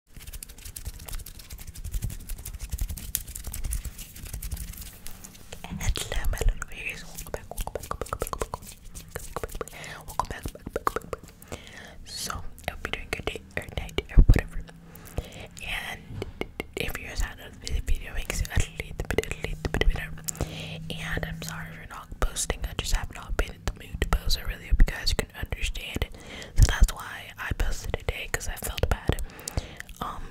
Welcome back, welcome back, welcome back, welcome back, So, I will be doing good day or night or whatever. And if you're sad of video, makes it And I'm sorry for not posting. I just have not been in the mood to post. I really hope you guys can understand it. So that's why I posted today because I felt bad. Um,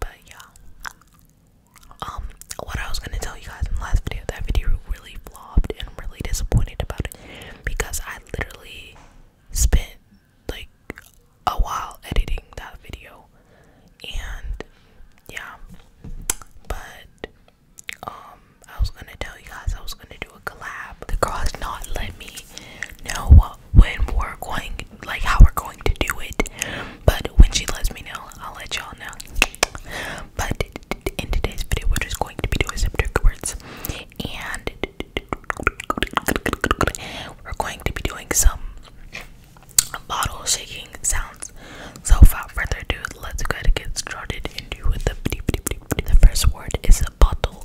but yeah. Um, what I was gonna tell you guys in the last video, that video really flopped and I'm really disappointed about it because I literally spent like a while editing that video and yeah. But um I was gonna tell you guys I was gonna do a collab. The girl has not let me know when we're going like how we're going to do it. But when she lets me know, I'll let y'all know. But in today's video we're just going to be doing some trigger words and we're going to be doing some bottle shaking sounds. So without further ado, let's go to get started and do with the the first word is a bottle.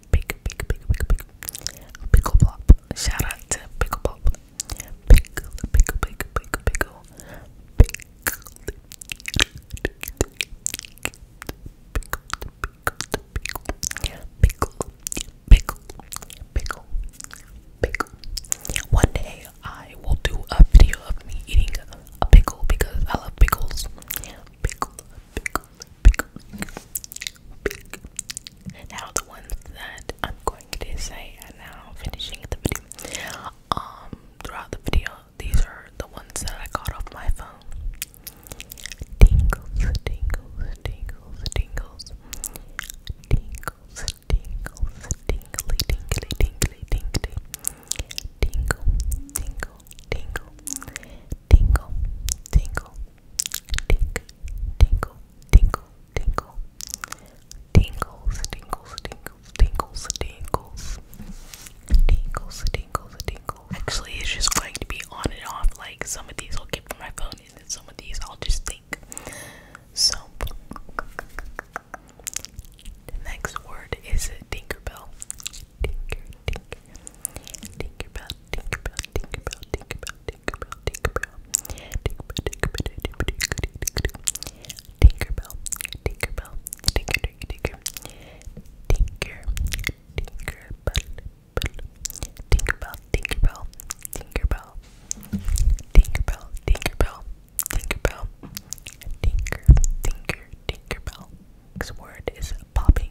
Pick, pick, pick, pick, pick. Pickle Plop. Shout out to Pickle Plop. Pickle, pickle, pickle, pickle, pickle. Pickle. Pickle, pickle, pickle, pickle. One day I will do a video of me eating a pickle because I love pickles. Pickle, pickle, pick, pick. Now the ones that I'm going to say and now finishing the video. Um, throughout the video, these are the ones that I got off my phone. Tingles, tingles, tingles, tingles, tingles, tingles, tingly, tingly, tingly, tingly, tingle, tingle, tingle, tingle, tingle, tink, tingle, tingle, tingle, tingles, tingles, tingles, tingles, tingles, tingles, tingles, tingles. Actually, it's just going to be on and off. Like some of these I'll get from my phone, and then some of these I'll just think. So the next word is Tinkerbell. Tinker, tinker, Tinkerbell, Tinkerbell, Tinkerbell, Tinkerbell, Tinkerbell, Tinkerbell, Tinkerbell, Tinkerbell, Tinkerbell, Tinkerbell, Tinker, Tinker, Tinker, Tinker, Tinkerbell, Tinkerbell, Tinkerbell, Tinkerbell, Tinkerbell, Tinkerbell, Tinkerbell, Tinker, Tinker, Tinkerbell. Next word is popping,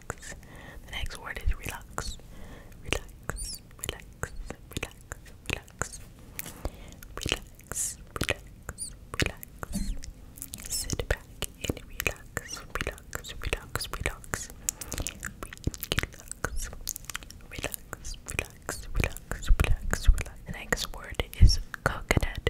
relax. The next word is relax. Relax, relax, relax, relax. Relax, relax, relax. Sit back and relax, relax, relax, relax. Relax, relax, relax, relax, relax, relax. The next word is coconut.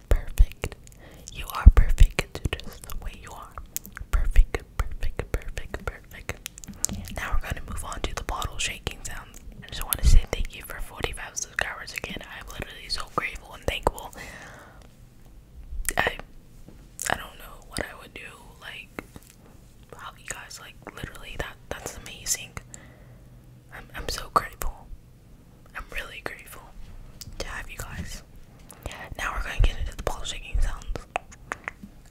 perfect. You are perfect just the way you are. Perfect, perfect, perfect, perfect. Now we're gonna move on to the bottle shaking sounds. I just want to say thank you for 45 subscribers again. I'm literally so grateful and thankful. I I don't know what I would do. Like how you guys like literally that that's amazing. I'm I'm so grateful. I'm really grateful to have you guys. Now we're going to get into the ball shaking sounds.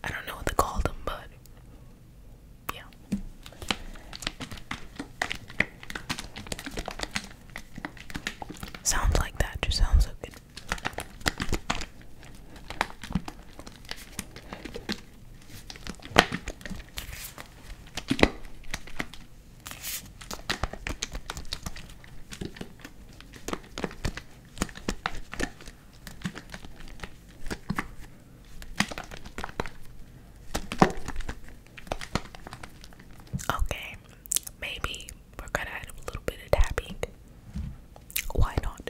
I don't know what they call them, but yeah. Sounds like that just sounds so good. Okay, maybe we're gonna add a little bit of tapping. Why not?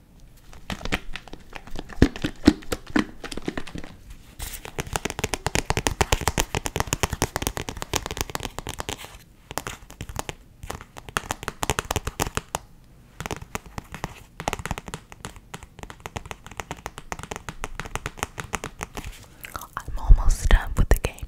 I'm almost done with the game.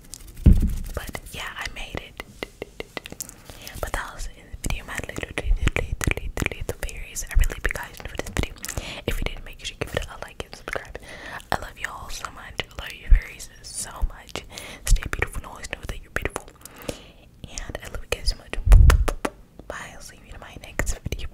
But yeah, I made it. But that was in the video, my little, little, berries. I really be guys for this video. If you did, make sure you give it a like and subscribe. I love y'all so much. I love you berries so much. Stay beautiful. and Always know that you're beautiful. And I love you guys so much. Bye. I'll see you in my next video.